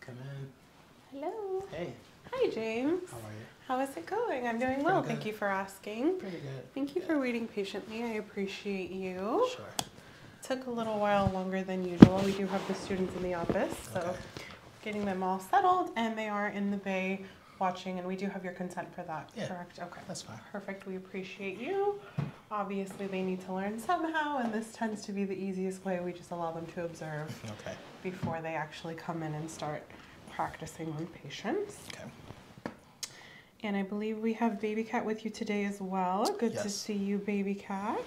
Come in. Hello. Hey. Hi, James. How are you? How is it going? I'm doing well. Thank you for asking. Pretty good. Thank you for waiting patiently. I appreciate you. Sure. Took a little while longer than usual. We do have the students in the office, so getting them all settled, and they are in the bay watching, and we do have your consent for that, correct? Okay. That's fine. Perfect. We appreciate you. Obviously, they need to learn somehow, and this tends to be the easiest way. We just allow them to observe before they actually come in and start practicing on patients. Okay. And I believe we have Baby Cat with you today as well. Good to see you, Baby Cat.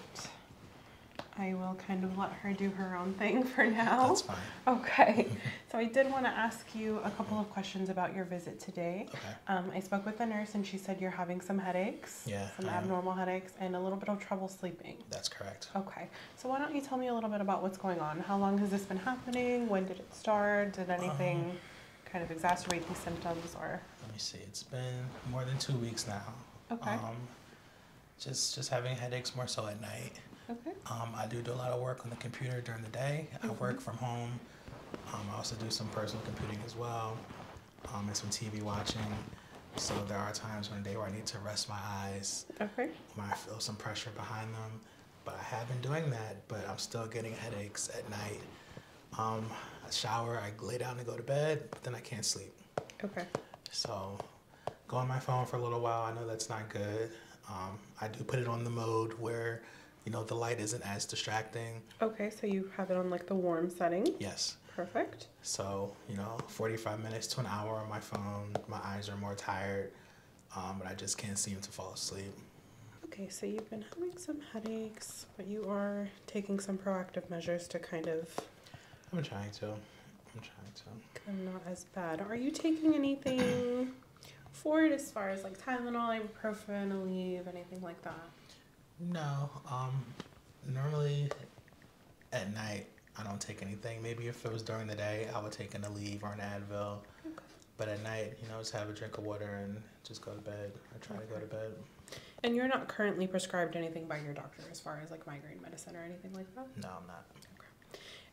I will kind of let her do her own thing for now. That's fine. Okay. So I did want to ask you a couple of questions about your visit today. Okay. Um, I spoke with the nurse and she said you're having some headaches, yeah, some abnormal headaches, and a little bit of trouble sleeping. That's correct. Okay. So why don't you tell me a little bit about what's going on? How long has this been happening? When did it start? Did anything um, kind of exacerbate these symptoms or? Let me see. It's been more than two weeks now. Okay. Um, just just having headaches more so at night. Um, I do do a lot of work on the computer during the day. I mm-hmm. work from home. Um, I also do some personal computing as well, um, and some TV watching. So there are times in the day where I need to rest my eyes. Okay. When I feel some pressure behind them, but I have been doing that. But I'm still getting headaches at night. Um, I shower, I lay down and go to bed, but then I can't sleep. Okay. So go on my phone for a little while. I know that's not good. Um, I do put it on the mode where, you know, the light isn't as distracting. Okay, so you have it on like the warm setting. Yes. Perfect. So, you know, 45 minutes to an hour on my phone. My eyes are more tired, um, but I just can't seem to fall asleep. Okay, so you've been having some headaches, but you are taking some proactive measures to kind of. I'm trying to. I'm trying to. I'm not as bad. Are you taking anything for it as far as like Tylenol, ibuprofen, Aleve, anything like that? No. Um, normally at night I don't take anything. Maybe if it was during the day, I would take an Aleve or an Advil. Okay. But at night, you know, just have a drink of water and just go to bed. I try to go to bed. And you're not currently prescribed anything by your doctor as far as like migraine medicine or anything like that? No, I'm not.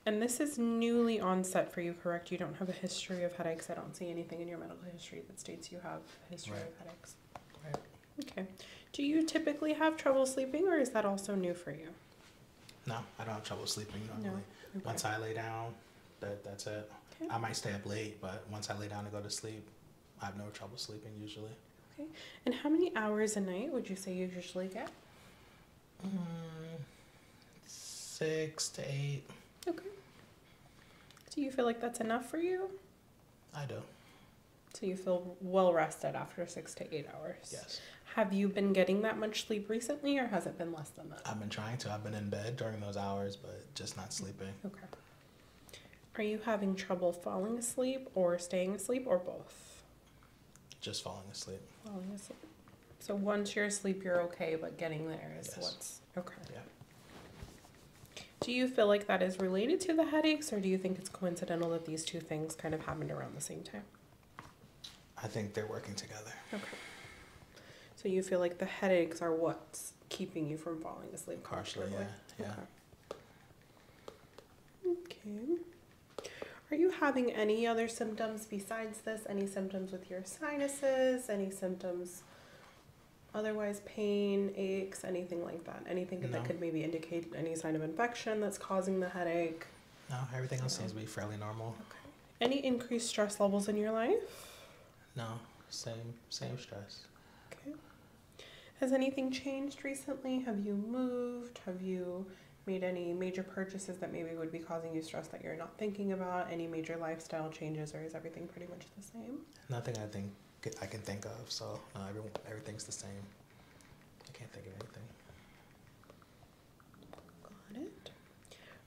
And this is newly onset for you, correct? You don't have a history of headaches. I don't see anything in your medical history that states you have a history of headaches. Okay. Do you typically have trouble sleeping, or is that also new for you? No, I don't have trouble sleeping normally. Once I lay down, that that's it. I might stay up late, but once I lay down to go to sleep, I have no trouble sleeping usually. Okay. And how many hours a night would you say you usually get? Mm, six to eight. Okay. Do you feel like that's enough for you? I do. So you feel well rested after six to eight hours? Yes. Have you been getting that much sleep recently or has it been less than that? I've been trying to. I've been in bed during those hours, but just not sleeping. Okay. Are you having trouble falling asleep or staying asleep or both? Just falling asleep. Falling asleep. So once you're asleep, you're okay, but getting there is what's okay. Yeah. Do you feel like that is related to the headaches, or do you think it's coincidental that these two things kind of happened around the same time? I think they're working together. Okay. So you feel like the headaches are what's keeping you from falling asleep? Partially, yeah. okay. Are you having any other symptoms besides this? Any symptoms with your sinuses? Any symptoms otherwise pain, aches, anything like that? Anything that could maybe indicate any sign of infection that's causing the headache? No, everything else seems to be fairly normal. Okay. Any increased stress levels in your life? No, same same stress. Okay. Has anything changed recently? Have you moved? Have you made any major purchases that maybe would be causing you stress that you're not thinking about, any major lifestyle changes, or is everything pretty much the same? Nothing I think I can think of. So no, everything's the same. I can't think of anything. Got it.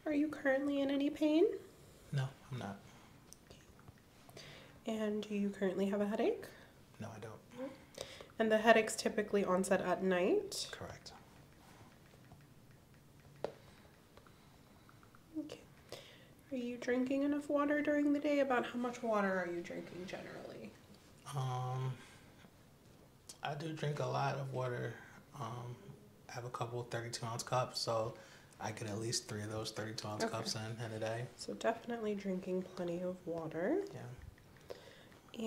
Are you currently in any pain? No, I'm not. And do you currently have a headache? No, I don't. And the headaches typically onset at night? Correct. Okay. Are you drinking enough water during the day? About how much water are you drinking generally? Um, I do drink a lot of water. Um, I have a couple 32 ounce cups, so I get at least three of those 32 ounce cups in, in a day. So definitely drinking plenty of water. Yeah.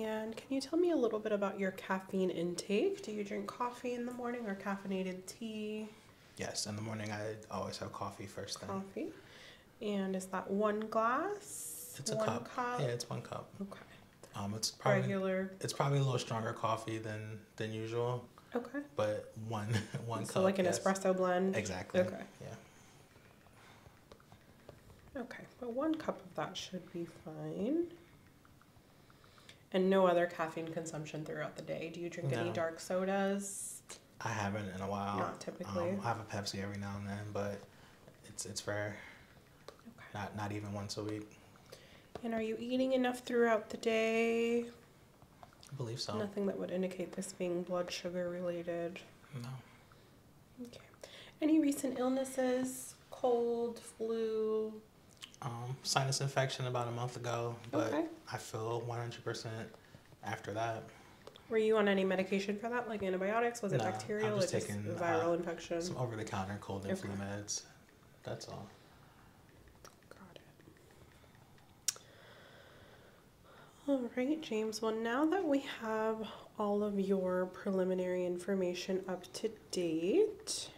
And can you tell me a little bit about your cafe? caffeine intake. Do you drink coffee in the morning or caffeinated tea? Yes, in the morning I always have coffee first thing. Coffee. And is that one glass? It's a cup. Yeah, it's one cup. Okay. Um, it's probably regular. It's probably a little stronger coffee than than usual. Okay. But one one cup. So like an espresso blend. Exactly. Okay. Yeah. Okay, but one cup of that should be fine. And no other caffeine consumption throughout the day. Do you drink any dark sodas? I haven't in a while. Not typically. Um, I have a Pepsi every now and then, but it's it's rare. Okay. Not not even once a week. And are you eating enough throughout the day? I believe so. Nothing that would indicate this being blood sugar related. No. Okay. Any recent illnesses? Cold, flu, um, sinus infection about a month ago, but I feel 100% after that. Were you on any medication for that, like antibiotics? Was it no, bacterial? I'm just or taking uh, viral infection. Some over-the-counter cold and flu meds. That's all. Got All right, James. Well, now that we have all of your preliminary information up to date,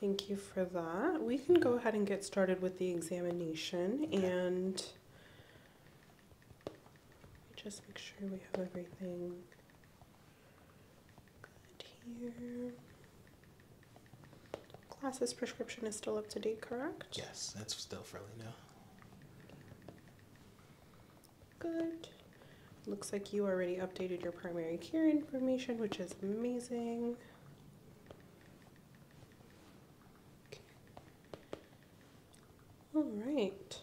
Thank you for that. We can go ahead and get started with the examination and just make sure we have everything good here. Glasses prescription is still up to date, correct? Yes, that's still fairly new. Good. Looks like you already updated your primary care information, which is amazing. All right.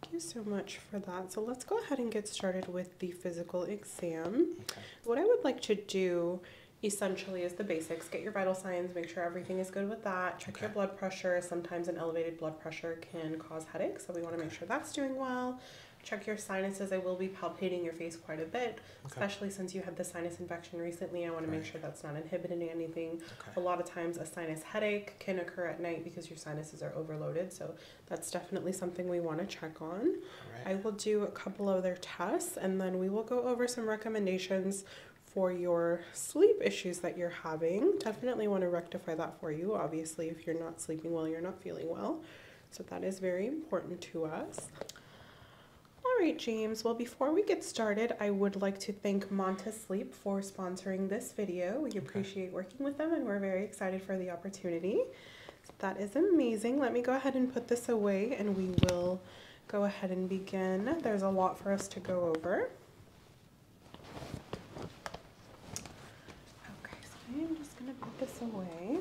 Thank you so much for that. So let's go ahead and get started with the physical exam. What I would like to do essentially is the basics. Get your vital signs, make sure everything is good with that. Check your blood pressure. Sometimes an elevated blood pressure can cause headaches, so we want to make sure that's doing well check your sinuses. I will be palpating your face quite a bit, especially since you had the sinus infection recently. I want to make sure that's not inhibiting anything. A lot of times, a sinus headache can occur at night because your sinuses are overloaded. So that's definitely something we want to check on. I will do a couple other tests, and then we will go over some recommendations for your sleep issues that you're having. Definitely want to rectify that for you. Obviously, if you're not sleeping well, you're not feeling well. So that is very important to us. All right, James. Well, before we get started, I would like to thank Monta Sleep for sponsoring this video. We appreciate working with them and we're very excited for the opportunity. that is amazing. Let me go ahead and put this away and we will go ahead and begin. There's a lot for us to go over. Okay, so I'm just gonna put this away.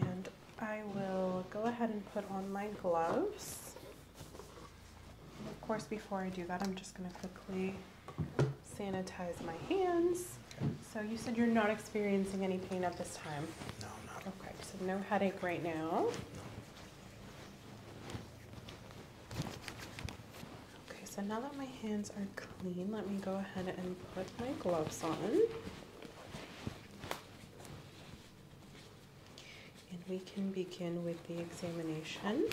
And I will go ahead and put on my gloves. And of course, before I do that, I'm just going to quickly sanitize my hands. So you said you're not experiencing any pain at this time? No, not. Okay, so no headache right now. Okay, so now that my hands are clean, let me go ahead and put my gloves on. And we can begin with the examination.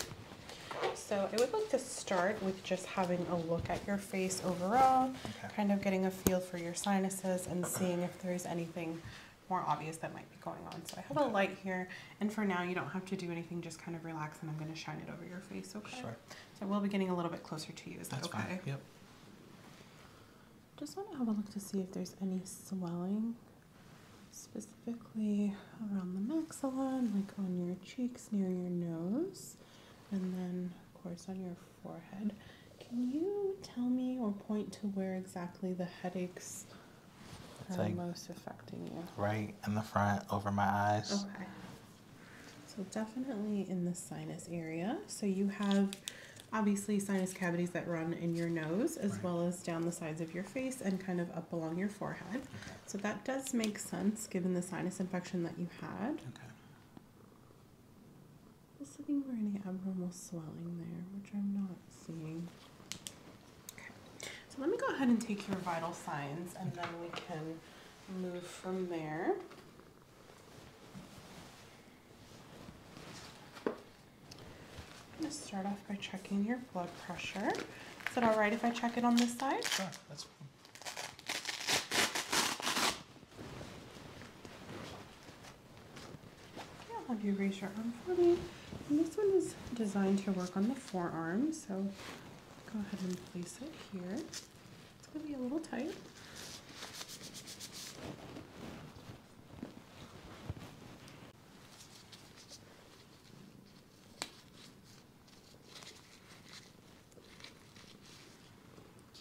So I would like to start with just having a look at your face overall, kind of getting a feel for your sinuses and seeing if there's anything more obvious that might be going on. So I have a light here, and for now you don't have to do anything, just kind of relax and I'm gonna shine it over your face, okay? So we will be getting a little bit closer to you. Is that That's okay? Yep. Just want to have a look to see if there's any swelling, specifically around the maxilla, like on your cheeks, near your nose, and then of course on your forehead. Can you tell me or point to where exactly the headaches are most affecting you? Right in the front, over my eyes. Okay. So definitely in the sinus area. So you have obviously sinus cavities that run in your nose as well as down the sides of your face and kind of up along your forehead. So that does make sense given the sinus infection that you had. Okay. Just looking for any abnormal swelling there, which I'm not seeing. Okay. So let me go ahead and take your vital signs and then we can move from there. I'm start off by checking your blood pressure. Is it all right if I check it on this side? Sure, that's fine. Yeah, have you raise your arm for me. this one is designed to work on the forearm, so go ahead and place it here. It's going to be a little tight.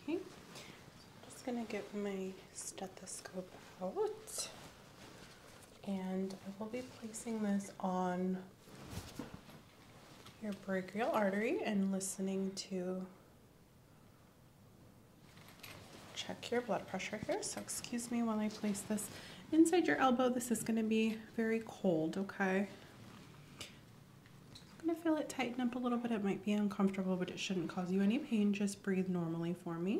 Okay, I'm just going to get my stethoscope out and I will be placing this on your brachial artery and listening to check your blood pressure here. So excuse me while I place this inside your elbow. This is gonna be very cold, okay? I'm gonna feel it tighten up a little bit. It might be uncomfortable, but it shouldn't cause you any pain. Just breathe normally for me.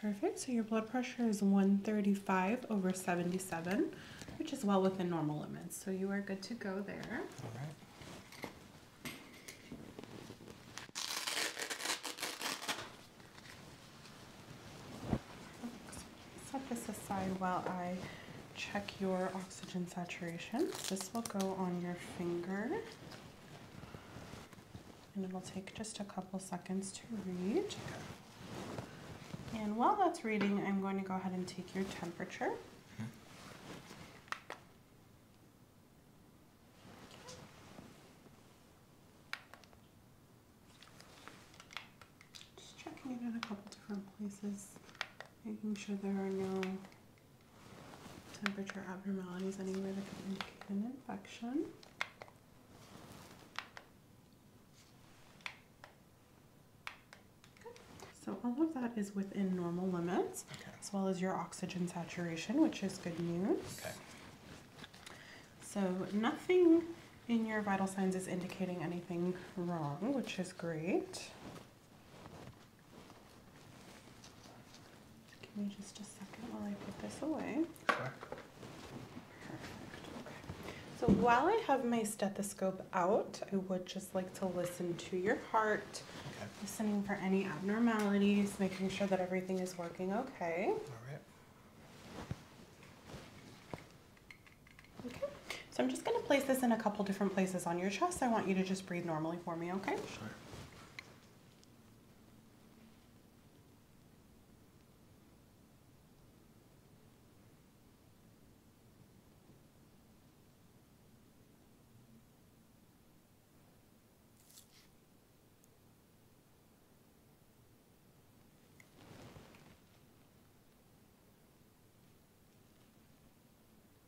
Perfect, so your blood pressure is 135 over 77, which is well within normal limits. So you are good to go there. All right. Set this aside while I check your oxygen saturation. This will go on your finger and it'll take just a couple seconds to read. And while that's reading, I'm going to go ahead and take your temperature. Just checking it at a couple different places making sure there are no temperature abnormalities anywhere that could indicate an infection. So all of that is within normal limits, as well as your oxygen saturation, which is good news. Okay. So nothing in your vital signs is indicating anything wrong, which is great. Give me just a second while I put this away. Sure. Perfect. Okay. So while I have my stethoscope out, I would just like to listen to your heart, listening for any abnormalities, making sure that everything is working okay. All right. Okay. So I'm just going to place this in a couple different places on your chest. I want you to just breathe normally for me, okay? Sure.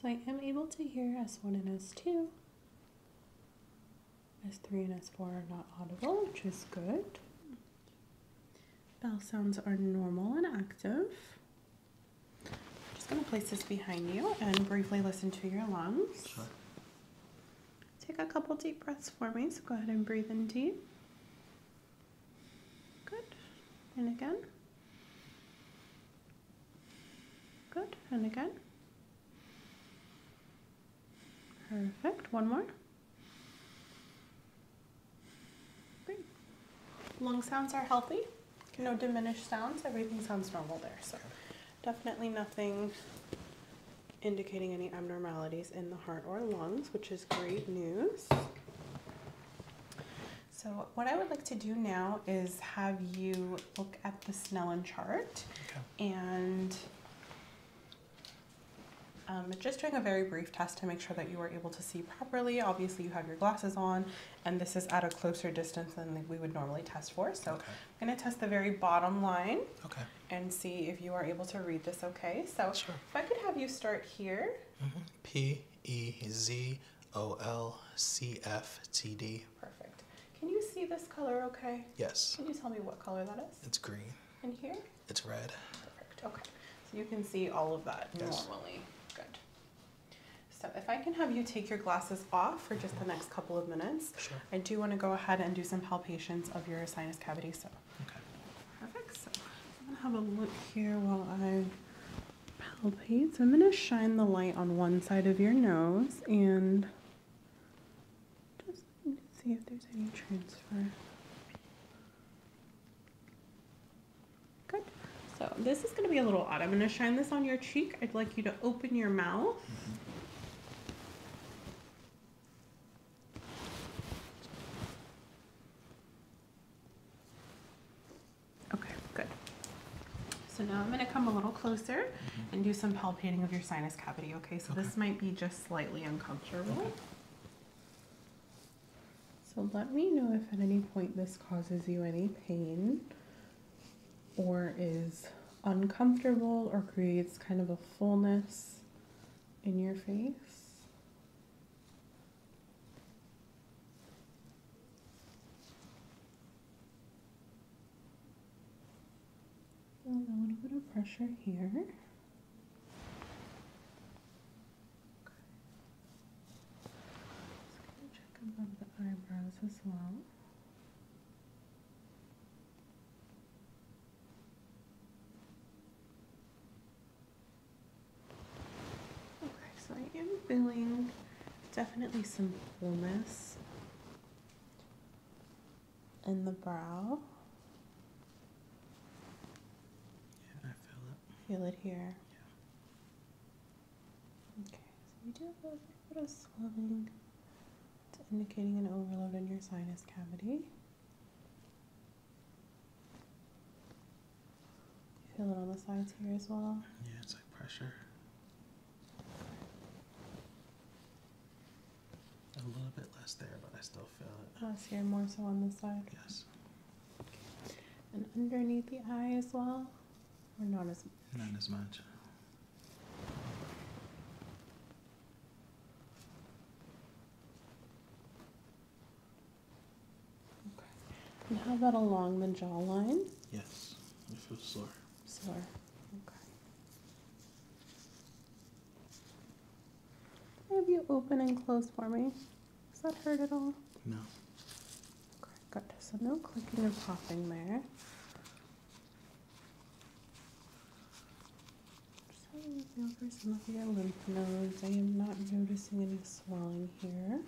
So I am able to hear S1 and S2. S3 and S4 are not audible, which is good. Bell sounds are normal and active. I'm just going to place this behind you and briefly listen to your lungs. Sure. Take a couple deep breaths for me, so go ahead and breathe in deep. Good. And again. Good, and again. Perfect, one more. Great. Lung sounds are healthy, no diminished sounds, everything sounds normal there. So definitely nothing indicating any abnormalities in the heart or lungs, which is great news. So what I would like to do now is have you look at the Snellen chart and um, just doing a very brief test to make sure that you are able to see properly. Obviously you have your glasses on and this is at a closer distance than we would normally test for. So I'm gonna test the very bottom line and see if you are able to read this okay. So if I could have you start here. Mm-hmm. P, E, Z, OLCFTD. Perfect. Can you see this color okay? Yes. Can you tell me what color that is? It's green. In here? It's red. Perfect. Okay. So you can see all of that normally. Good. So if I can have you take your glasses off for just the next couple of minutes, sure. I do want to go ahead and do some palpations of your sinus cavity. So. Okay. Perfect. So I'm going to have a look here while I palpate. So I'm going to shine the light on one side of your nose and just see if there's any transfer. Good. So this is going to be a little odd. I'm going to shine this on your cheek. I'd like you to open your mouth. Okay, good. So now I'm going to come a little closer mm-hmm. and do some palpating of your sinus cavity, okay? So this might be just slightly uncomfortable. So let me know if at any point this causes you any pain or is uncomfortable or creates kind of a fullness in your face. Feel a little bit of pressure here. Okay. Just gonna check above the eyebrows as well. Okay, so I am feeling definitely some fullness in the brow. feel it. here. Yeah. Okay, so you do have a bit of swelling. indicating an overload in your sinus cavity. feel it on the sides here as well? Yeah, it's like pressure. A little bit less there, but I still feel it. Oh, so you more so on this side? Yes. And underneath the eye as well? Or not as much? Not as much. Okay. And how about along the jawline? Yes, I feel sore. Sure. Okay. Have you open and close for me? Does that hurt at all? No. Okay, good. So no clicking and popping there. Just having a some of your lymph nodes. I am not noticing any swelling here.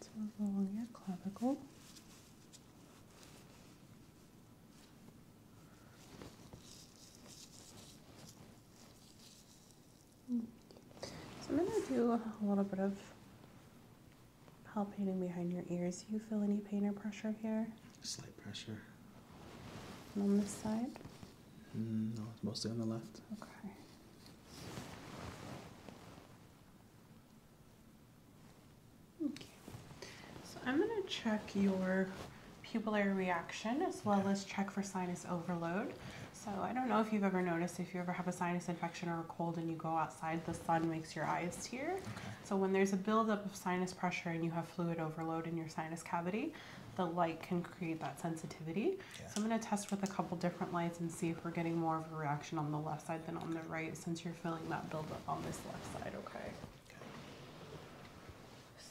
Let's your clavicle. So I'm going to do a little bit of palpating behind your ears. Do you feel any pain or pressure here? Slight pressure. on this side? Mm, no, it's mostly on the left. Okay. Okay. So I'm going to check your pupillary reaction as well as check for sinus overload. So I don't know if you've ever noticed if you ever have a sinus infection or a cold and you go outside, the sun makes your eyes tear. So when there's a buildup of sinus pressure and you have fluid overload in your sinus cavity, the light can create that sensitivity. So I'm going to test with a couple different lights and see if we're getting more of a reaction on the left side than on the right since you're feeling that buildup on this left side, okay?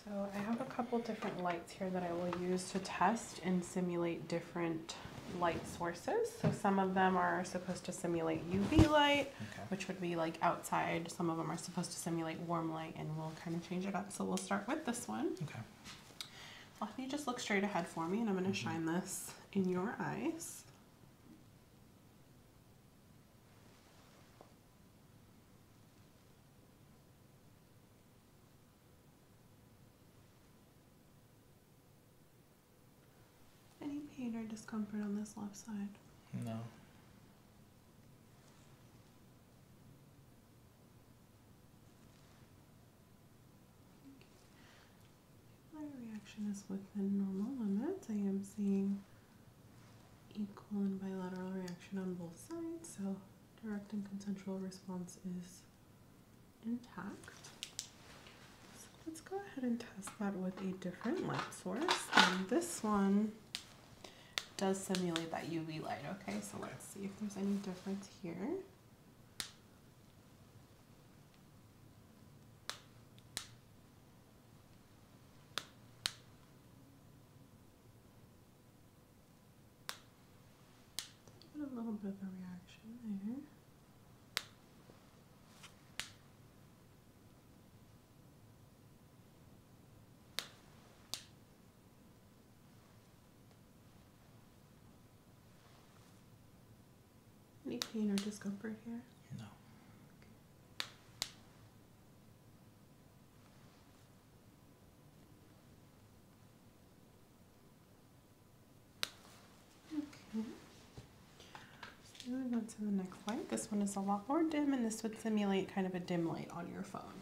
So I have a couple different lights here that I will use to test and simulate different light sources. So some of them are supposed to simulate UV light, which would be like outside some of them are supposed to simulate warm light and we'll kind of change it up. So we'll start with this one. Okay. Well, if just look straight ahead for me and I'm going to mm-hmm. shine this in your eyes. Any pain or discomfort on this left side? No. My reaction is within normal limits. I am seeing equal and bilateral reaction on both sides, so direct and consensual response is intact. So let's go ahead and test that with a different light source. And this one does simulate that UV light, okay? So let's see if there's any difference here. A little bit of a reaction there. Any pain or discomfort here? No. Okay. moving on to the next light. This one is a lot more dim, and this would simulate kind of a dim light on your phone.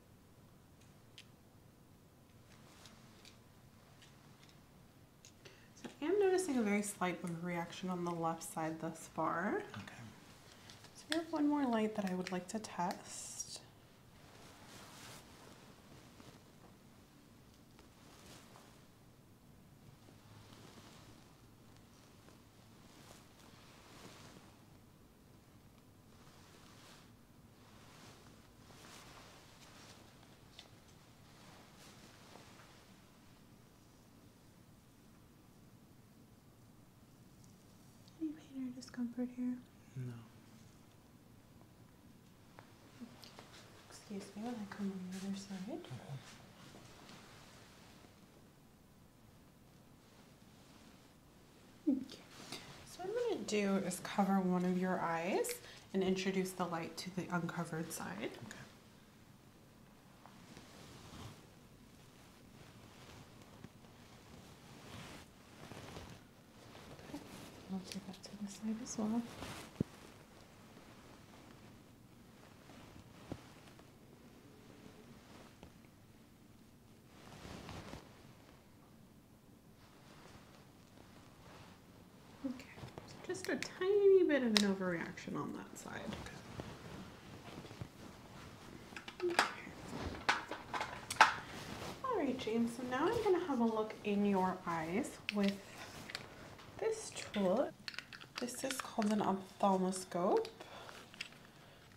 So I am noticing a very slight reaction on the left side thus far. Okay. So we have one more light that I would like to test. Any pain or discomfort here? No. Excuse me when I come on the other side. Okay. So what I'm going to do is cover one of your eyes and introduce the light to the uncovered side. Okay. I'll take that to the side as well. Okay, just a tiny bit of an overreaction on that side. Okay. All right, James, so now I'm gonna have a look in your eyes with this tool. This is called an ophthalmoscope.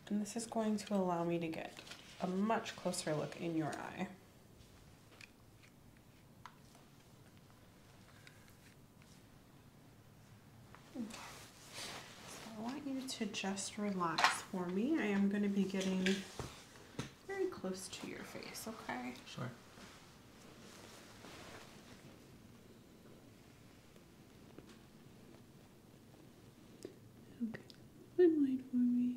And this is going to allow me to get a much closer look in your eye. I want you to just relax for me. I am going to be getting very close to your face, okay? Sure. Okay, and wait for me.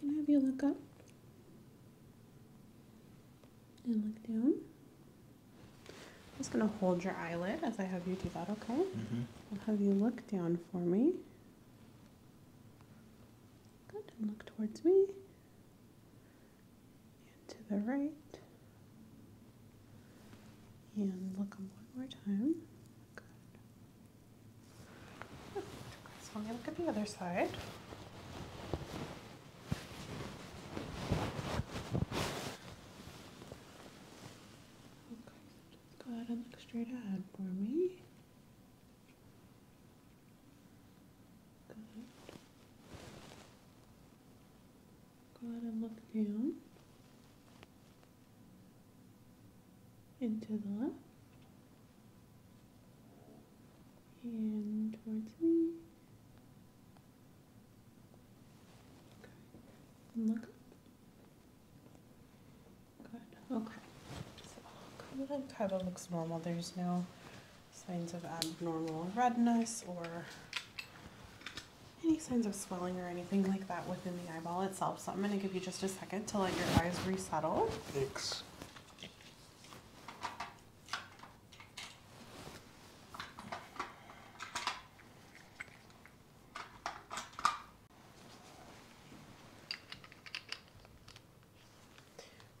Can i have you look up and look down. just going to hold your eyelid as I have you do that, okay? Mm-hmm. I'll have you look down for me. Good, look towards me. And to the right. And look up one more time. Good. So let me look at the other side. Okay, go ahead and look straight ahead for me. Good. Go ahead and look down and to the left and towards me. Okay. And look up. Good. Okay. So kind of, kind of looks normal. There's no signs of abnormal redness or any signs of swelling or anything like that within the eyeball itself. So I'm going to give you just a second to let your eyes resettle. Thanks.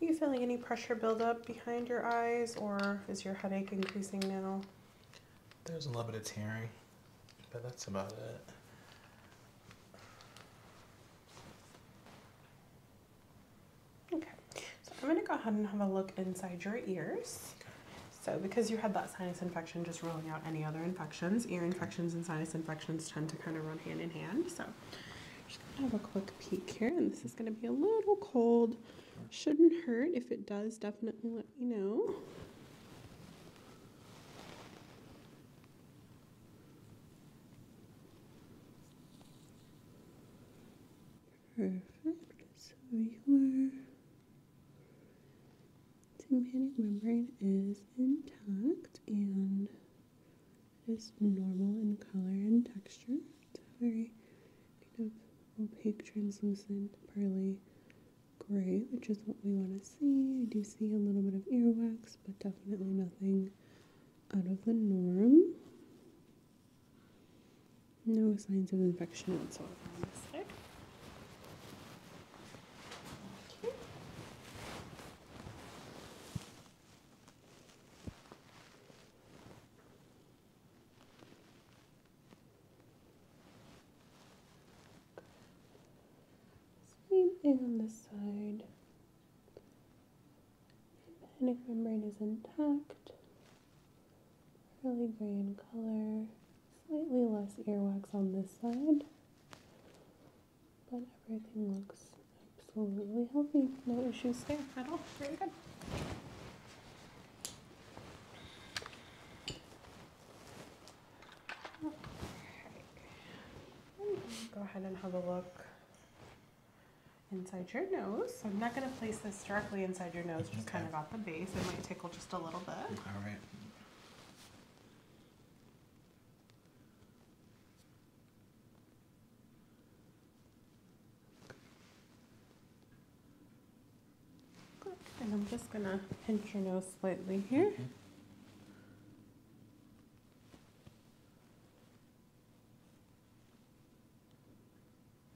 Are you feeling any pressure build up behind your eyes or is your headache increasing now? There's a little bit of tearing, but that's about it. Okay, so I'm gonna go ahead and have a look inside your ears. So because you had that sinus infection, just ruling out any other infections, ear infections and sinus infections tend to kind of run hand in hand. So I have a quick peek here and this is gonna be a little cold. Shouldn't hurt. If it does, definitely let me know. Perfect. So your tympanic membrane is intact and it is normal in color and texture. It's a very kind of opaque, translucent, pearly gray, which is what we want to see. do see a little bit of earwax but definitely nothing out of the norm. No signs of infection whatsoever Same thing on this side. Panic membrane is intact, fairly gray in color, slightly less earwax on this side, but everything looks absolutely healthy. No issues there at all. Very good. Go ahead and have a look inside your nose. I'm not going to place this directly inside your nose, just kind of at the base. It might tickle just a little bit. All right. And I'm just going to pinch your nose slightly here. Mm-hmm.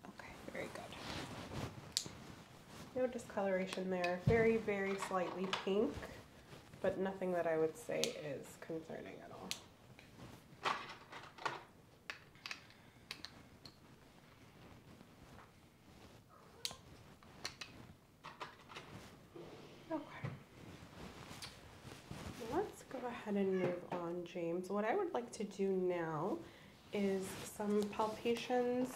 Okay, very good. No discoloration there. Very, very slightly pink, but nothing that I would say is concerning at all. Okay. Let's go ahead and move on, James. What I would like to do now is some palpations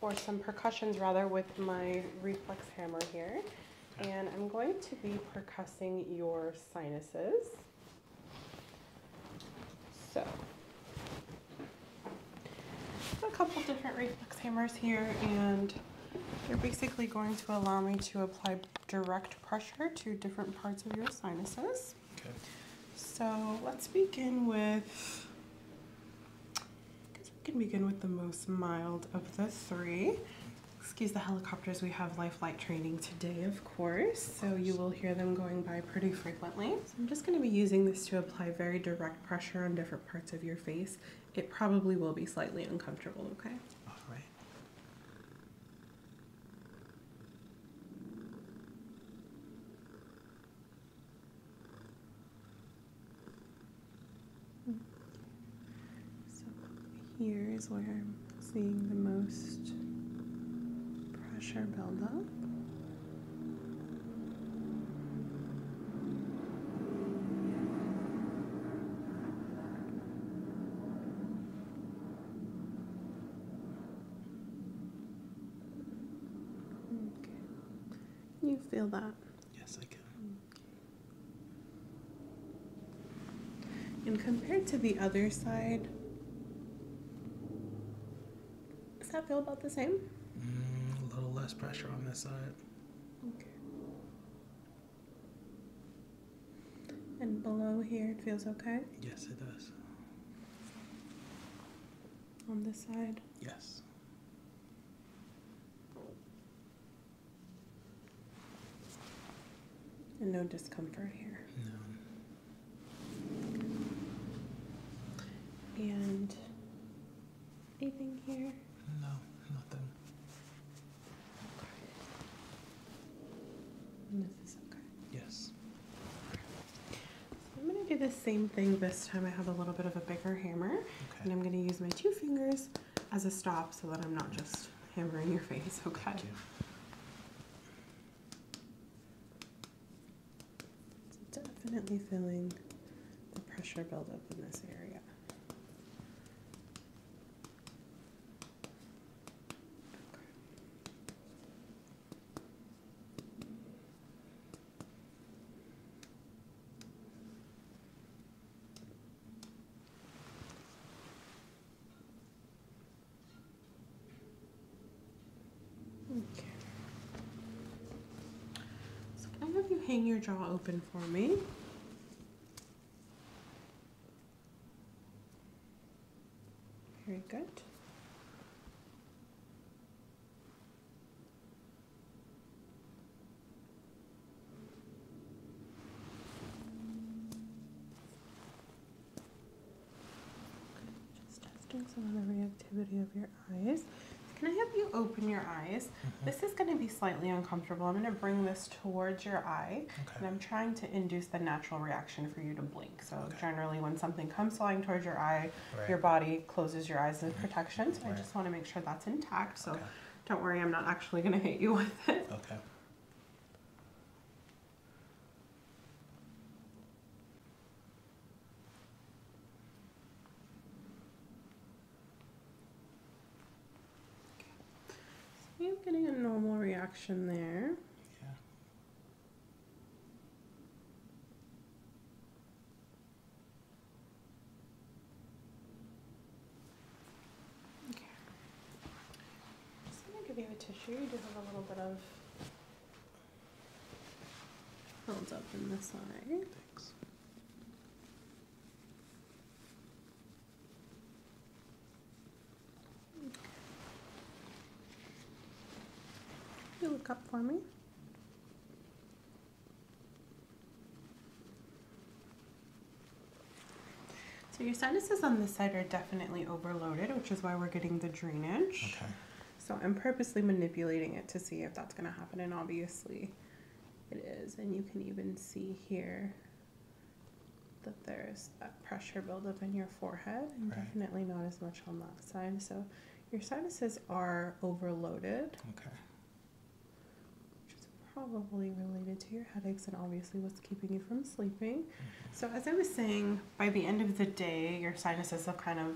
or some percussions rather with my reflex hammer here. And I'm going to be percussing your sinuses. So, a couple different reflex hammers here and you're basically going to allow me to apply direct pressure to different parts of your sinuses. Okay. So let's begin with, I guess we can begin with the most mild of the three. Excuse the helicopters, we have life training today, of course, so you will hear them going by pretty frequently. I'm just gonna be using this to apply very direct pressure on different parts of your face it probably will be slightly uncomfortable, okay? All right. here is where I'm seeing the most pressure build up. Okay. You feel that? Yes, I can. And compared to the other side, does that feel about the same? Mm, a little less pressure on this side. Okay. And below here, it feels okay? Yes, it does. On this side? Yes. And no discomfort here? No. And anything here? No, nothing. Yes. I'm going to do the same thing this time. I have a little bit of a bigger hammer, and I'm going to use my two fingers as a stop so that I'm not just hammering your face. Okay. definitely feeling the pressure buildup in this area. Okay. can I have you hang your jaw open for me? Very good. Just testing some of the reactivity of your eyes. Can I have you open your eyes? Mm-hmm. This is going to be slightly uncomfortable. I'm going to bring this towards your eye, and I'm trying to induce the natural reaction for you to blink. So generally, when something comes flying towards your eye, your body closes your eyes in mm-hmm. protection. So I just want to make sure that's intact. So don't worry, I'm not actually going to hit you with it. Okay. So you're getting a normal reaction there. Yeah. Okay. I'm gonna give you a tissue. You do have a little bit of build in this eye. Thanks. You look up for me. So your sinuses on this side are definitely overloaded, which is why we're getting the drainage. Okay. So I'm purposely manipulating it to see if that's going to happen, and obviously it is. And you can even see here that there's that pressure buildup in your forehead, and definitely not as much on that side. So your sinuses are overloaded. Which is probably related to your headaches and obviously what's keeping you from sleeping. Mm-hmm. So, as I was saying, by the end of the day, your sinuses have kind of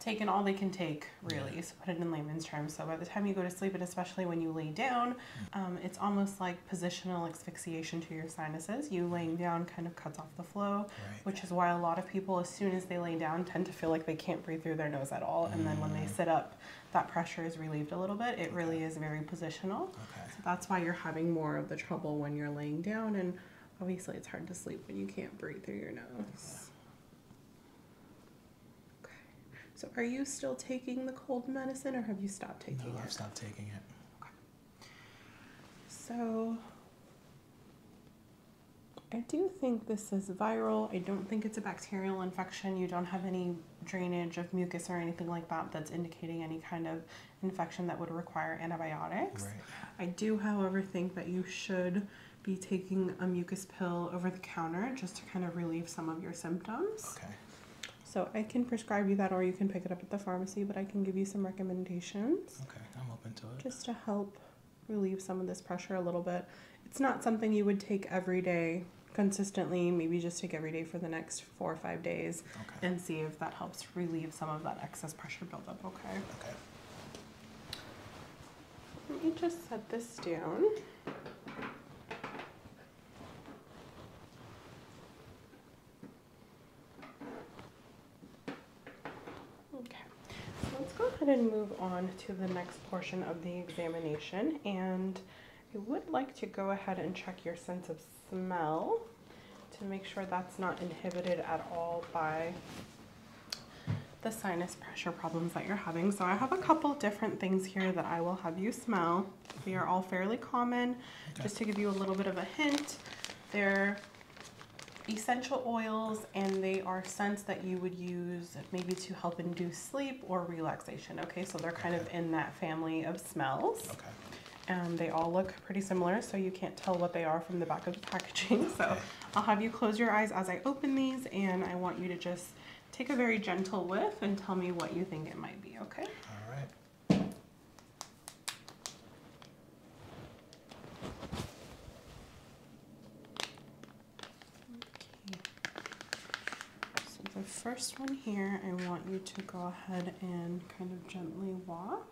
taken all they can take, really, so put it in layman's terms. So, by the time you go to sleep, and especially when you lay down, mm. um, it's almost like positional asphyxiation to your sinuses. You laying down kind of cuts off the flow, which is why a lot of people, as soon as they lay down, tend to feel like they can't breathe through their nose at all. And then when they mm. sit up, that pressure is relieved a little bit. It really is very positional. So that's why you're having more of the trouble when you're laying down. And obviously, it's hard to sleep when you can't breathe through your nose. Yeah. So are you still taking the cold medicine or have you stopped? taking it? I've stopped taking it. So I do think this is viral. I don't think it's a bacterial infection. You don't have any drainage of mucus or anything like that that's indicating any kind of infection that would require antibiotics. I do, however, think that you should be taking a mucus pill over the counter just to kind of relieve some of your symptoms. So I can prescribe you that, or you can pick it up at the pharmacy. But I can give you some recommendations. Okay, I'm open to it. Just to help relieve some of this pressure a little bit. It's not something you would take every day consistently. Maybe just take every day for the next four or five days, and see if that helps relieve some of that excess pressure buildup. Okay. Okay. Let me just set this down. Okay, let's go ahead and move on to the next portion of the examination. And I would like to go ahead and check your sense of smell to make sure that's not inhibited at all by the sinus pressure problems that you're having. So I have a couple different things here that I will have you smell. They are all fairly common. Just to give you a little bit of a hint, they're essential oils and they are scents that you would use maybe to help induce sleep or relaxation. Okay, so they're kind of in that family of smells. Okay. Um, they all look pretty similar, so you can't tell what they are from the back of the packaging. So I'll have you close your eyes as I open these, and I want you to just take a very gentle whiff and tell me what you think it might be, okay? All right. So the first one here, I want you to go ahead and kind of gently waft.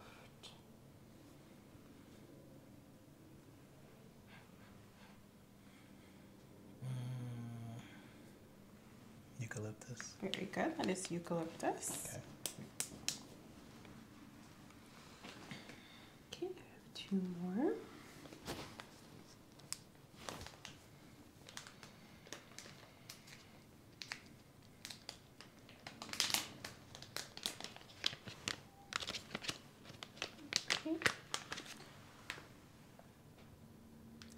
Mm. Eucalyptus. Very good. That is eucalyptus. Okay. Okay, I have two more. Okay.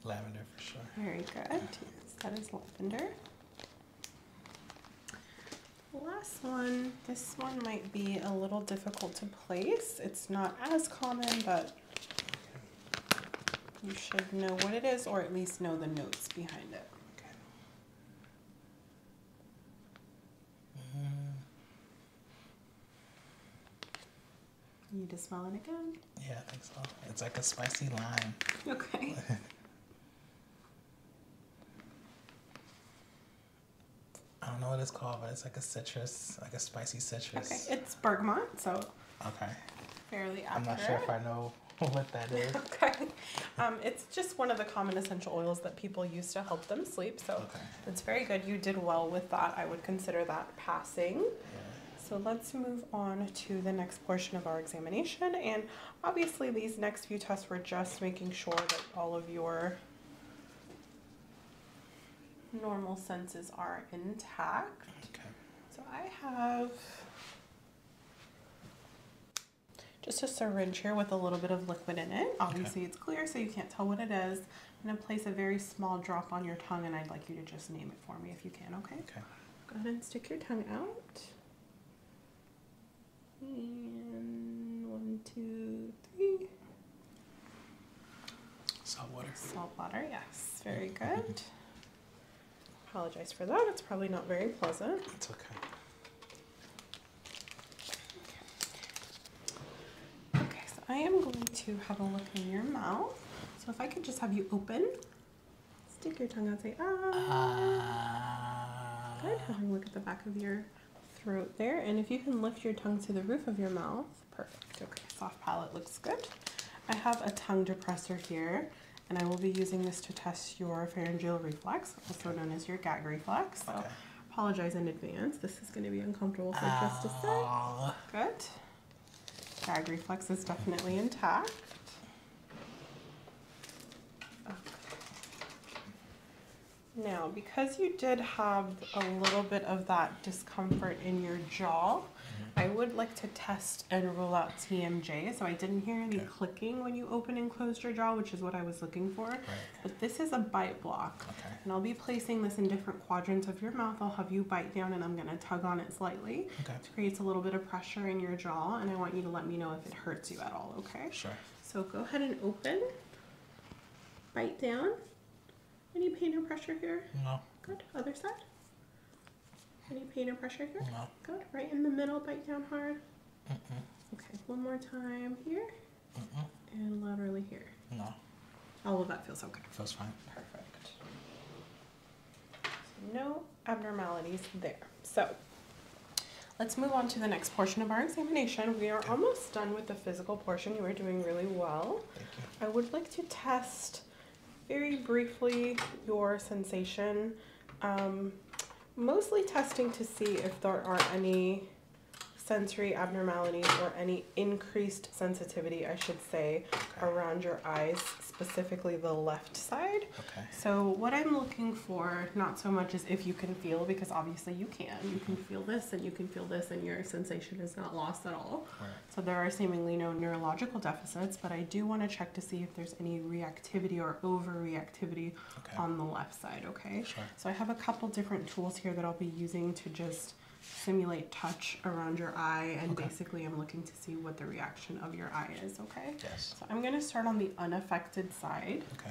Lavender for sure. Very good. that is lavender. Last one. This one might be a little difficult to place. It's not as common, but you should know what it is or at least know the notes behind it. Okay. You need to smell it again. Yeah, I think so. It's like a spicy lime. Okay. I don't know what it's called, but it's like a citrus, like a spicy citrus. Okay, it's bergamot, so. Okay. Fairly I'm not sure if I know what that is. okay. Um, it's just one of the common essential oils that people use to help them sleep, so okay. it's very good. You did well with that. I would consider that passing. So let's move on to the next portion of our examination. And obviously these next few tests were just making sure that all of your normal senses are intact. Okay. So I have just a syringe here with a little bit of liquid in it. Obviously it's clear so you can't tell what it is. I'm gonna place a very small drop on your tongue and I'd like you to just name it for me if you can, okay? Okay. Go ahead and stick your tongue out. one, two, three. Salt water. Salt water, yes. Very good. Apologize for that. It's probably not very pleasant. It's okay. Okay, so I am going to have a look in your mouth. So if I could just have you open. Stick your tongue out say ah. Uh, ah. Good. Have a look at the back of your throat there. And if you can lift your tongue to the roof of your mouth, perfect. Okay, soft palate looks good. I have a tongue depressor here, and I will be using this to test your pharyngeal reflex, also known as your gag reflex. So apologize in advance. This is going to be uncomfortable for just a sec. Ah. Good. Gag reflex is definitely intact. Now, because you did have a little bit of that discomfort in your jaw, mm-hmm. I would like to test and rule out TMJ. So I didn't hear any clicking when you open and closed your jaw, which is what I was looking for. But this is a bite block. And I'll be placing this in different quadrants of your mouth. I'll have you bite down and I'm going to tug on it slightly creates a little bit of pressure in your jaw, and I want you to let me know if it hurts you at all, okay? Sure. So go ahead and open. Bite down. Any pain or pressure here? No. Good. Other side? Any pain or pressure here? No. Good. Right in the middle, bite down hard. Mm -mm. Okay. One more time here. Mm and laterally here. No. All of that feels okay. Feels fine. Perfect no abnormalities there. So let's move on to the next portion of our examination. We are almost done with the physical portion. You are doing really well. I would like to test very briefly your sensation. Um, mostly testing to see if there are any sensory abnormalities or any increased sensitivity, I should say, around your eyes specifically the left side. Okay. So what I'm looking for, not so much is if you can feel, because obviously you can. You can feel this and you can feel this and your sensation is not lost at all. Right. So there are seemingly no neurological deficits, but I do want to check to see if there's any reactivity or overreactivity on the left side, okay? Sure. So I have a couple different tools here that I'll be using to just simulate touch around your eye and basically I'm looking see what the reaction of your eye is, okay? Yes. So I'm going to start on the unaffected side. Okay.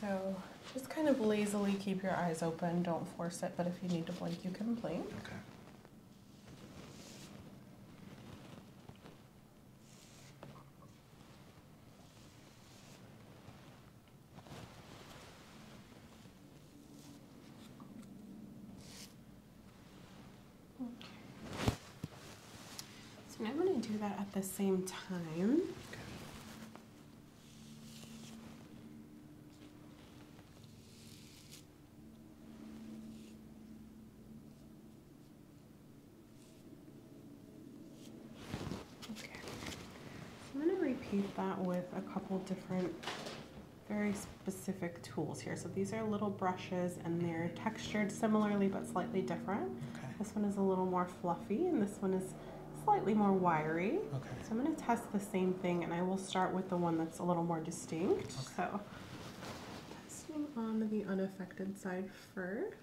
So just kind of lazily keep your eyes open. Don't force it, but if you need to blink, you can blink. Okay. So now I'm going to do that at the same time. Okay. I'm going to repeat that with a couple different very specific tools here. So these are little brushes and they're textured similarly but slightly different. This one is a little more fluffy and this one is slightly more wiry. Okay. So I'm going to test the same thing and I will start with the one that's a little more distinct. So testing on the unaffected side first.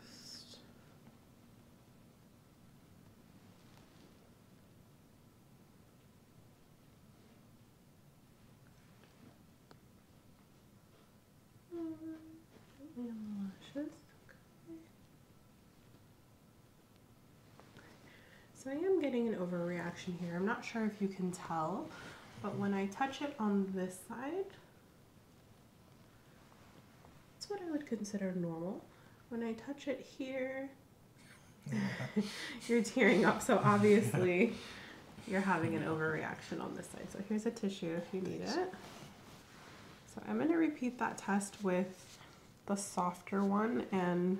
So I am getting an overreaction here. I'm not sure if you can tell, but when I touch it on this side, that's what I would consider normal. When I touch it here, you're tearing up, so obviously You're having an overreaction on this side. So here's a tissue if you need it. So I'm going to repeat that test with the softer one and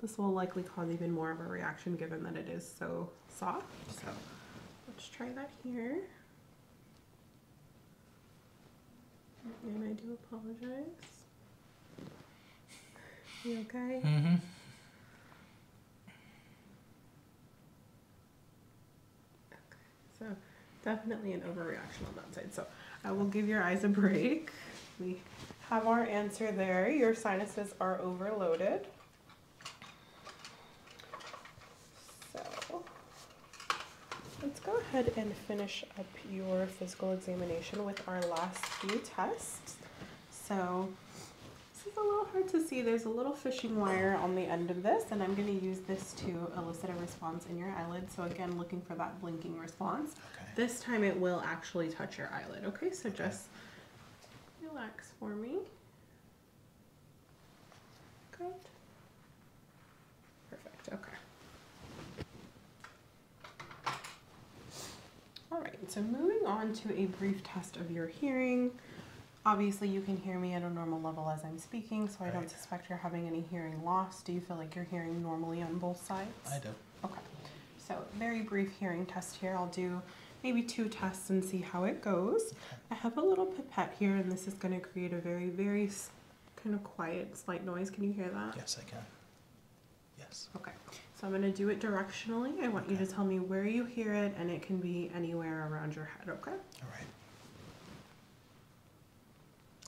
this will likely cause even more of a reaction given that it is so soft. So let's try that here. And I do apologize. You okay? Mm-hmm. Okay, so definitely an overreaction on that side. So I will give your eyes a break. We have our answer there. Your sinuses are overloaded. So let's go ahead and finish up your physical examination with our last few tests. So this is a little hard to see. There's a little fishing wire on the end of this, and I'm going to use this to elicit a response in your eyelid. So again, looking for that blinking response. This time it will actually touch your eyelid. Okay, so just relax for me. Good. Perfect, okay. All right, so moving on to a brief test of your hearing. Obviously, you can hear me at a normal level as I'm speaking, so I don't suspect you're having any hearing loss. Do you feel like you're hearing normally on both sides? I do. Okay, so very brief hearing test here. I'll do maybe two tests and see how it goes. I have a little pipette here, and this is going to create a very, very kind of quiet, slight noise. Can you hear that? Yes, I can. Yes. Okay. So I'm going to do it directionally. I want you to tell me where you hear it, and it can be anywhere around your head, okay? All right.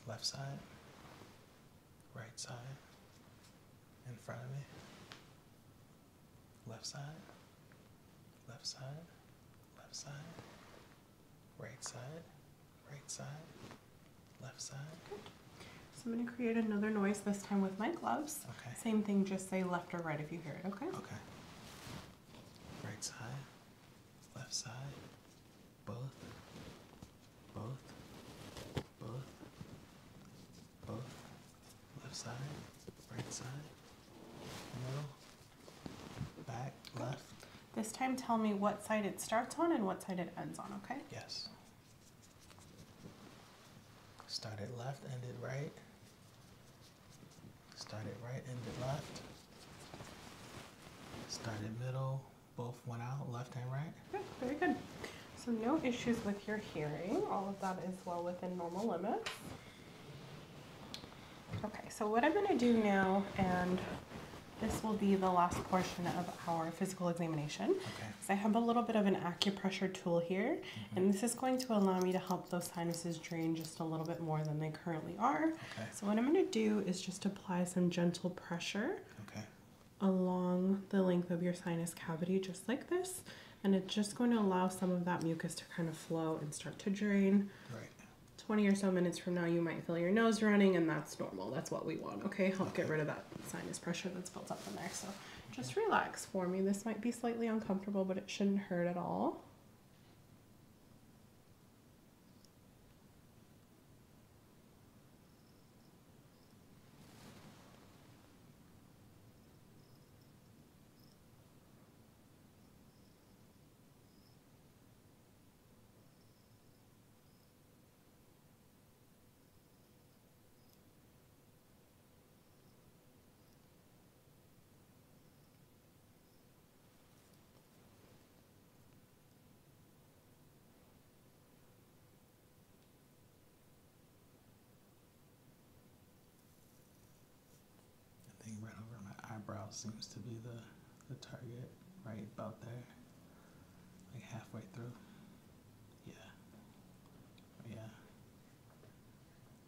Left side, right side, in front of me, left side, left side, left side, right side, right side, left side. So I'm going to create another noise, this time with my gloves. Same thing, just say left or right if you hear it, okay? Okay. Right side, left side, both, both, both, both, left side, right side, middle, back, left. This time tell me what side it starts on and what side it ends on, okay? Yes. Started left, Ended right. Started right, ended left. Started middle, both went out, left and right. Good, very good. So no issues with your hearing. All of that is well within normal limits. Okay, so what I'm gonna do now, and this will be the last portion of our physical examination. Okay. I have a little bit of an acupressure tool here. Mm-hmm. And this is going to allow me to help those sinuses drain just a little bit more than they currently are. Okay. So what I'm going to do is just apply some gentle pressure okay. along the length of your sinus cavity, just like this. And it's just going to allow some of that mucus to kind of flow and start to drain. Right. 20 or so minutes from now, you might feel your nose running, and that's normal. That's what we want, okay? Help get rid of that sinus pressure that's built up in there. So just relax for me. This might be slightly uncomfortable, but it shouldn't hurt at all. I think right over my eyebrow seems to be the the target right about there like halfway through yeah oh, yeah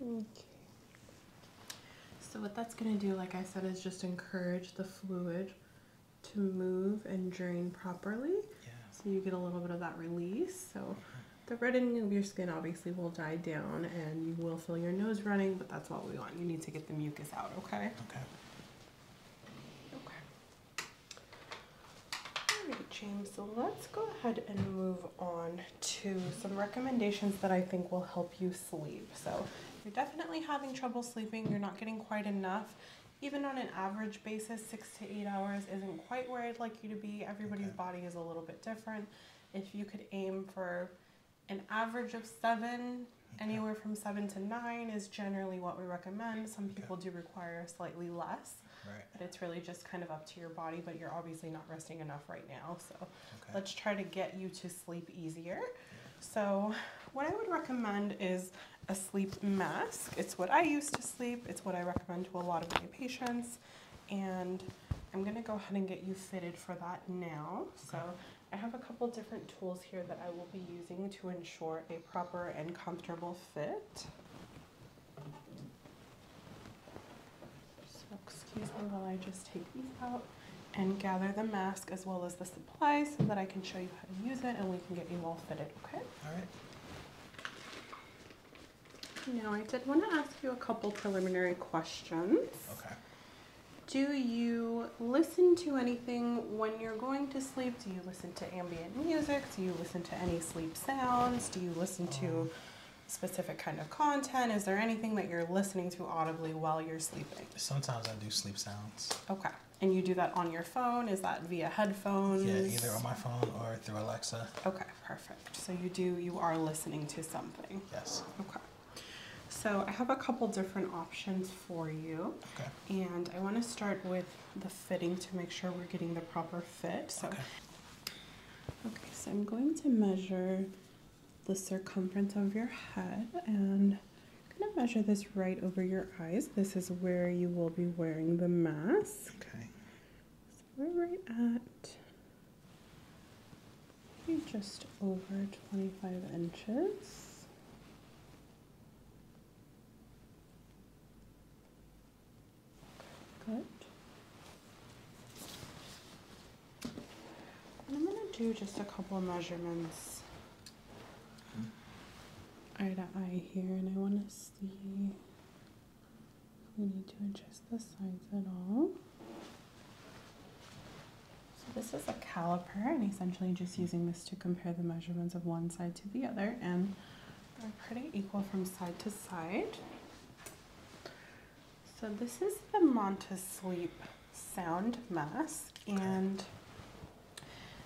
Okay. So what that's going to do, like I said, is just encourage the fluid to move and drain properly. Yeah. So you get a little bit of that release. So uh-huh. the reddening of your skin obviously will die down and you will feel your nose running, but that's what we want. You need to get the mucus out, okay? Okay. Okay. All right, James, so let's go ahead and move on to some recommendations that I think will help you sleep. So you're definitely having trouble sleeping, you're not getting quite enough. Even on an average basis, six to eight hours isn't quite where I'd like you to be. Everybody's body is a little bit different. If you could aim for an average of seven, anywhere from seven to nine is generally what we recommend. Some people do require slightly less it's really just kind of up to your body, but you're obviously not resting enough right now. So let's try to get you to sleep easier. So, what I would recommend is a sleep mask. It's what I use to sleep, it's what I recommend to a lot of my patients. And I'm gonna go ahead and get you fitted for that now. So, I have a couple different tools here that I will be using to ensure a proper and comfortable fit. So excuse me while I just take these out and gather the mask as well as the supplies so that I can show you how to use it and we can get you all fitted, okay? All right. Now I did want to ask you a couple preliminary questions. Okay. Do you listen to anything when you're going to sleep? Do you listen to ambient music? Do you listen to any sleep sounds? Do you listen to um. specific kind of content? Is there anything that you're listening to audibly while you're sleeping? Sometimes I do sleep sounds. Okay. And you do that on your phone? Is that via headphones? Yeah, either on my phone or through Alexa. Okay, perfect. So you do, you are listening to something? Yes. Okay. So I have a couple different options for you. Okay. And I want to start with the fitting to make sure we're getting the proper fit. okay. Okay, so I'm going to measure the circumference of your head and I'm going to measure this right over your eyes. This is where you will be wearing the mask. Okay. So we're right at just over 25 inches. Good. I'm going to do just a couple of measurements okay. eye to eye here, and I want to see if we need to adjust the sides at all. So this is a caliper, and essentially just using this to compare the measurements of one side to the other, and they're pretty equal from side to side. So this is the Monta Sleep Sound Mask and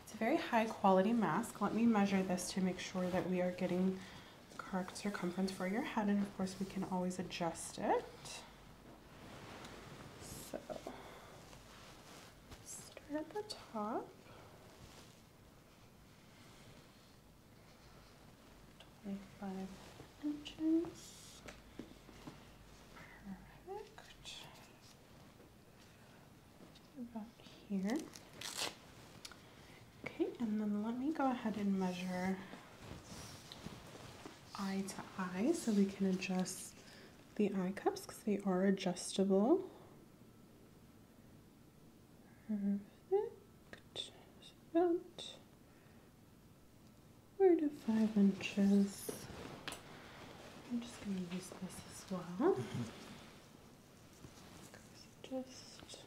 it's a very high quality mask. Let me measure this to make sure that we are getting the correct circumference for your head and of course we can always adjust it. So start at the top. 25 inches. Perfect. About here. Okay, and then let me go ahead and measure eye to eye so we can adjust the eye cups because they are adjustable. Perfect. Just about four to five inches. I'm just going to use this as well. Mm-hmm. Just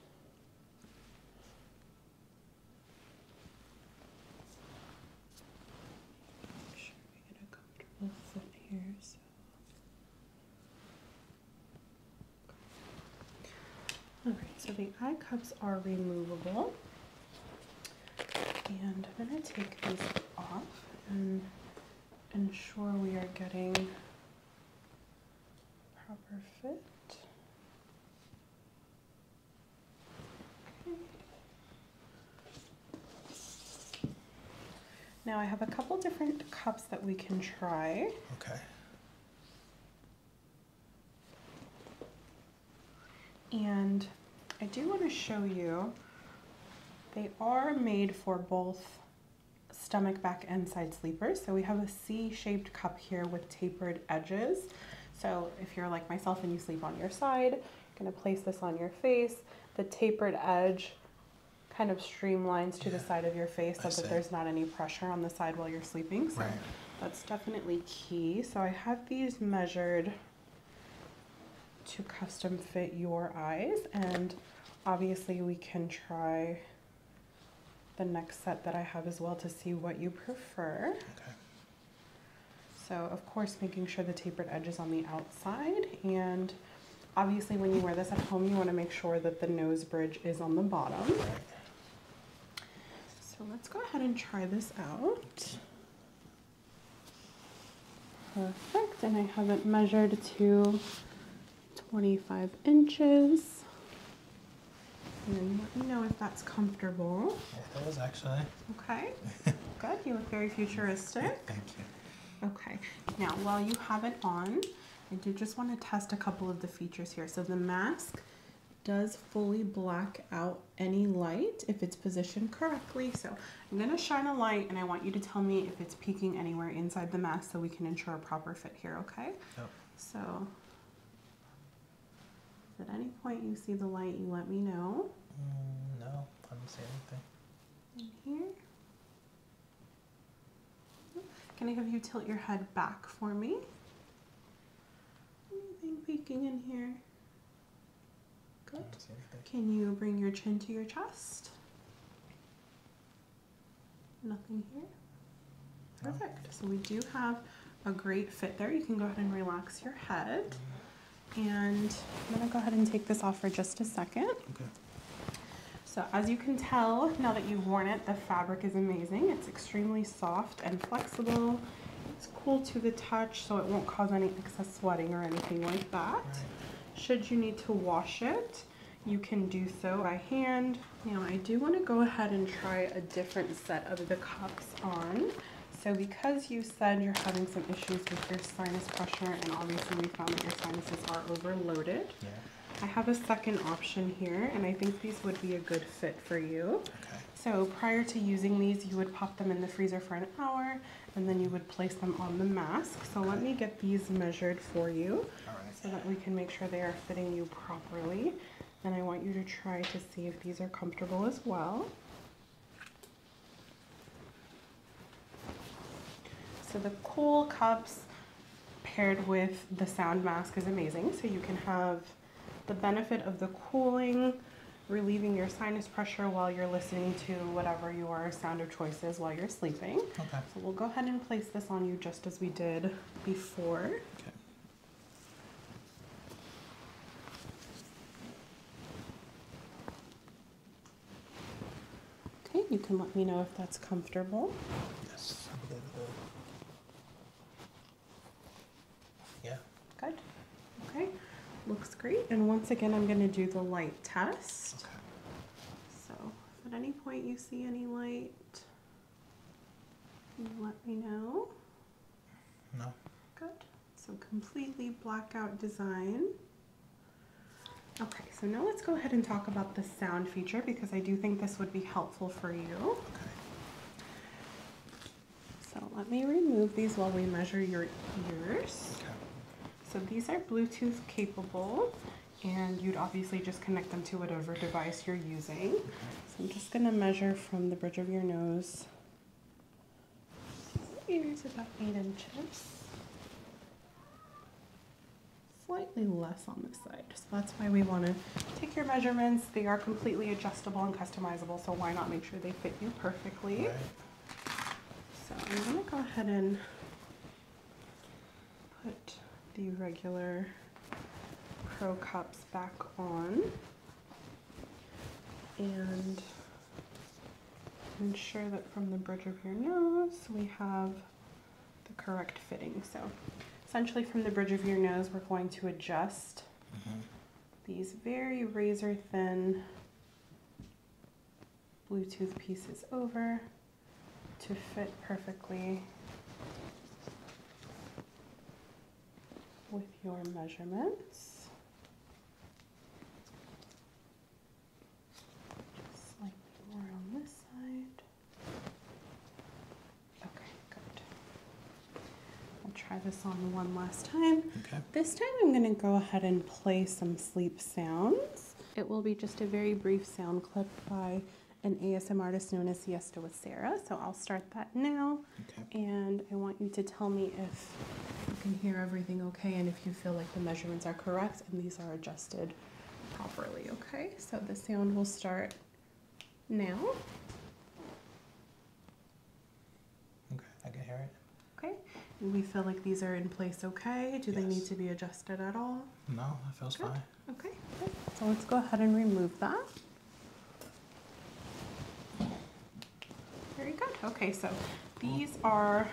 make sure we get a comfortable foot here. So. All right, so the eye cups are removable. And I'm going to take these off and ensure we are getting proper fit. Now I have a couple different cups that we can try. Okay. And I do want to show you, they are made for both stomach, back, and side sleepers. So we have a C-shaped cup here with tapered edges. So if you're like myself and you sleep on your side, I'm gonna place this on your face. The tapered edge kind of streamlines to the side of your face so that there's not any pressure on the side while you're sleeping. So that's definitely key. So I have these measured to custom fit your eyes and obviously we can try the next set that I have as well to see what you prefer. So of course making sure the tapered edge is on the outside and obviously when you wear this at home you want to make sure that the nose bridge is on the bottom. So let's go ahead and try this out. Perfect, and I have it measured to 25 inches. And let me know if that's comfortable. That was actually. Okay, good. You look very futuristic. Thank you. Okay, now while you have it on, I do just want to test a couple of the features here. So the mask does fully black out any light if it's positioned correctly. So I'm gonna shine a light and I want you to tell me if it's peeking anywhere inside the mask so we can ensure a proper fit here, okay? Yep. So at any point you see the light, you let me know. Mm, no, I don't see anything. In here. Can I have you tilt your head back for me? Anything peeking in here? Good. Can you bring your chin to your chest? Nothing here? Perfect. So we do have a great fit there. You can go ahead and relax your head. And I'm gonna go ahead and take this off for just a second. Okay. So as you can tell, now that you've worn it, the fabric is amazing. It's extremely soft and flexible. It's cool to the touch, so it won't cause any excess sweating or anything like that. Should you need to wash it, you can do so by hand. Now I do want to go ahead and try a different set of the cups on. So because you said you're having some issues with your sinus pressure and obviously we found that your sinuses are overloaded, yeah. I have a second option here, and I think these would be a good fit for you. Okay. So prior to using these, you would pop them in the freezer for an hour, and then you would place them on the mask. So let me get these measured for you so that we can make sure they are fitting you properly. And I want you to try to see if these are comfortable as well. So the cool cups paired with the sound mask is amazing. So you can have the benefit of the cooling, relieving your sinus pressure while you're listening to whatever your sound of choice is while you're sleeping. Okay. So we'll go ahead and place this on you just as we did before. Okay. Okay, you can let me know if that's comfortable. Yes, yeah. Good. Okay. Looks great. And once again, I'm going to do the light test. So at any point you see any light, let me know. No. Good. So completely blackout design. Okay, so now let's go ahead and talk about the sound feature because I do think this would be helpful for you. So let me remove these while we measure your ears. So these are Bluetooth capable, and you'd obviously just connect them to whatever device you're using. So I'm just going to measure from the bridge of your nose. Ears about eight inches. Slightly less on this side, so that's why we want to take your measurements. They are completely adjustable and customizable, so why not make sure they fit you perfectly? So I'm going to go ahead and put the regular pro cups back on and ensure that from the bridge of your nose we have the correct fitting. So Essentially from the bridge of your nose, we're going to adjust mm-hmm. these very razor thin Bluetooth pieces over to fit perfectly with your measurements. Just slightly more on this side. Okay, good. We'll try this on one last time. Okay. This time I'm going to go ahead and play some sleep sounds. It will be just a very brief sound clip by an ASM artist known as Siesta with Sarah. So I'll start that now. Okay. And I want you to tell me if you can hear everything okay and if you feel like the measurements are correct and these are adjusted properly, okay? So the sound will start now? Okay, I can hear it. Okay. We feel like these are in place okay. Do they need to be adjusted at all? No, that feels fine. Okay, so let's go ahead and remove that. Very good. Okay, so these are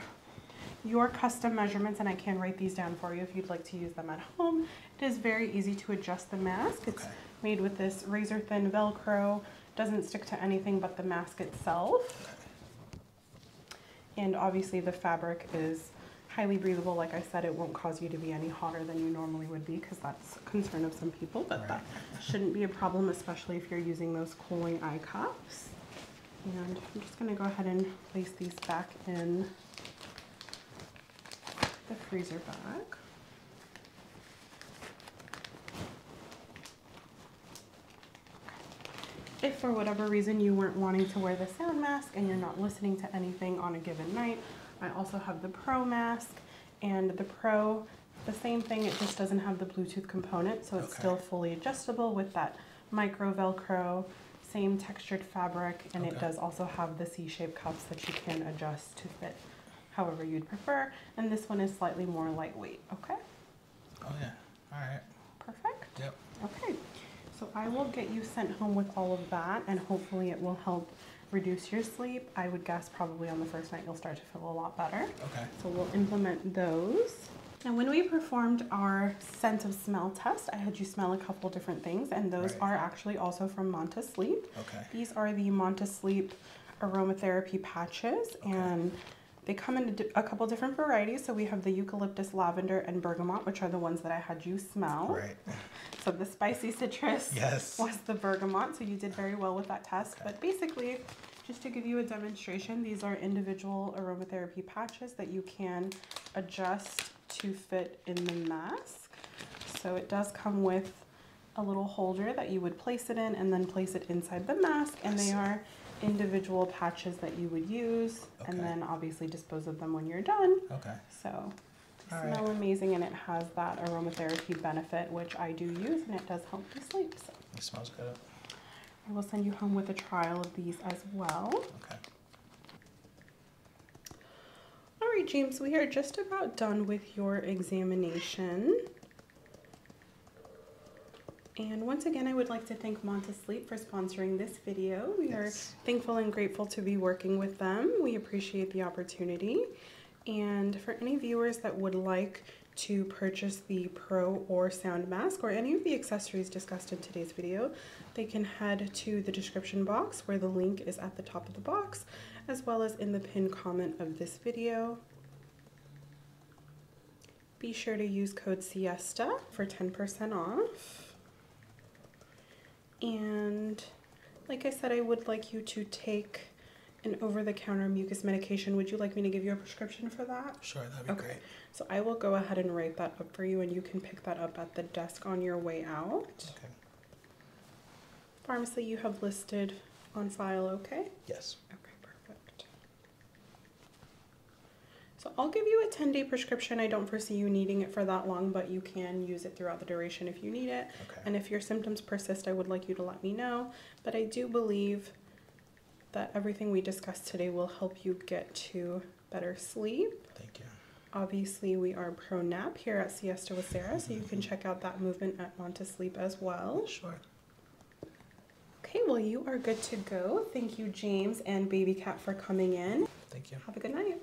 your custom measurements, and I can write these down for you if you'd like to use them at home. It is very easy to adjust the mask. It's made with this razor thin Velcro. Doesn't stick to anything but the mask itself. And obviously the fabric is highly breathable. Like I said, it won't cause you to be any hotter than you normally would be because that's a concern of some people, but that shouldn't be a problem, especially if you're using those cooling eye cups. And I'm just gonna go ahead and place these back in the freezer bag. If for whatever reason you weren't wanting to wear the sound mask and you're not listening to anything on a given night, I also have the Pro mask and the Pro, the same thing, it just doesn't have the Bluetooth component, so it's still fully adjustable with that micro Velcro, same textured fabric, and it does also have the C-shaped cups that you can adjust to fit however you'd prefer. And this one is slightly more lightweight, okay? Oh yeah, all right. Perfect? Yep. Okay, so I will get you sent home with all of that and hopefully it will help reduce your sleep. I would guess probably on the first night you'll start to feel a lot better. Okay. So we'll implement those. Now, when we performed our sense of smell test, I had you smell a couple different things, and those are actually also from Monta Sleep. Okay. These are the Monta Sleep aromatherapy patches and they come in a, couple different varieties. So we have the eucalyptus, lavender, and bergamot, which are the ones that I had you smell. So the spicy citrus yes. was the bergamot. So you did very well with that test. But basically, just to give you a demonstration, these are individual aromatherapy patches that you can adjust to fit in the mask. So it does come with a little holder that you would place it in and then place it inside the mask and they are individual patches that you would use and then obviously dispose of them when you're done. Okay. So they All smell amazing and it has that aromatherapy benefit which I do use and it does help me sleep. So. It smells good. I will send you home with a trial of these as well. Okay. All right, James, we are just about done with your examination. And once again, I would like to thank Montesleep for sponsoring this video. We are thankful and grateful to be working with them. We appreciate the opportunity. And for any viewers that would like to purchase the Pro or Sound Mask or any of the accessories discussed in today's video, they can head to the description box where the link is at the top of the box as well as in the pinned comment of this video. Be sure to use code SIESTA for 10% off. And like I said, I would like you to take an over-the-counter mucus medication. Would you like me to give you a prescription for that? Sure, that'd be okay. great. So I will go ahead and write that up for you and you can pick that up at the desk on your way out. Okay. Pharmacy you have listed on file, okay? Yes. Okay, perfect. So I'll give you a 10 day prescription. I don't foresee you needing it for that long, but you can use it throughout the duration if you need it. Okay. And if your symptoms persist, I would like you to let me know. But I do believe that everything we discussed today will help you get to better sleep. Thank you. Obviously, we are pro nap here at Siesta with Sarah, so you can check out that movement at Want Sleep as well. Sure. Okay, well, you are good to go. Thank you, James and Baby Cat, for coming in. Thank you. Have a good night.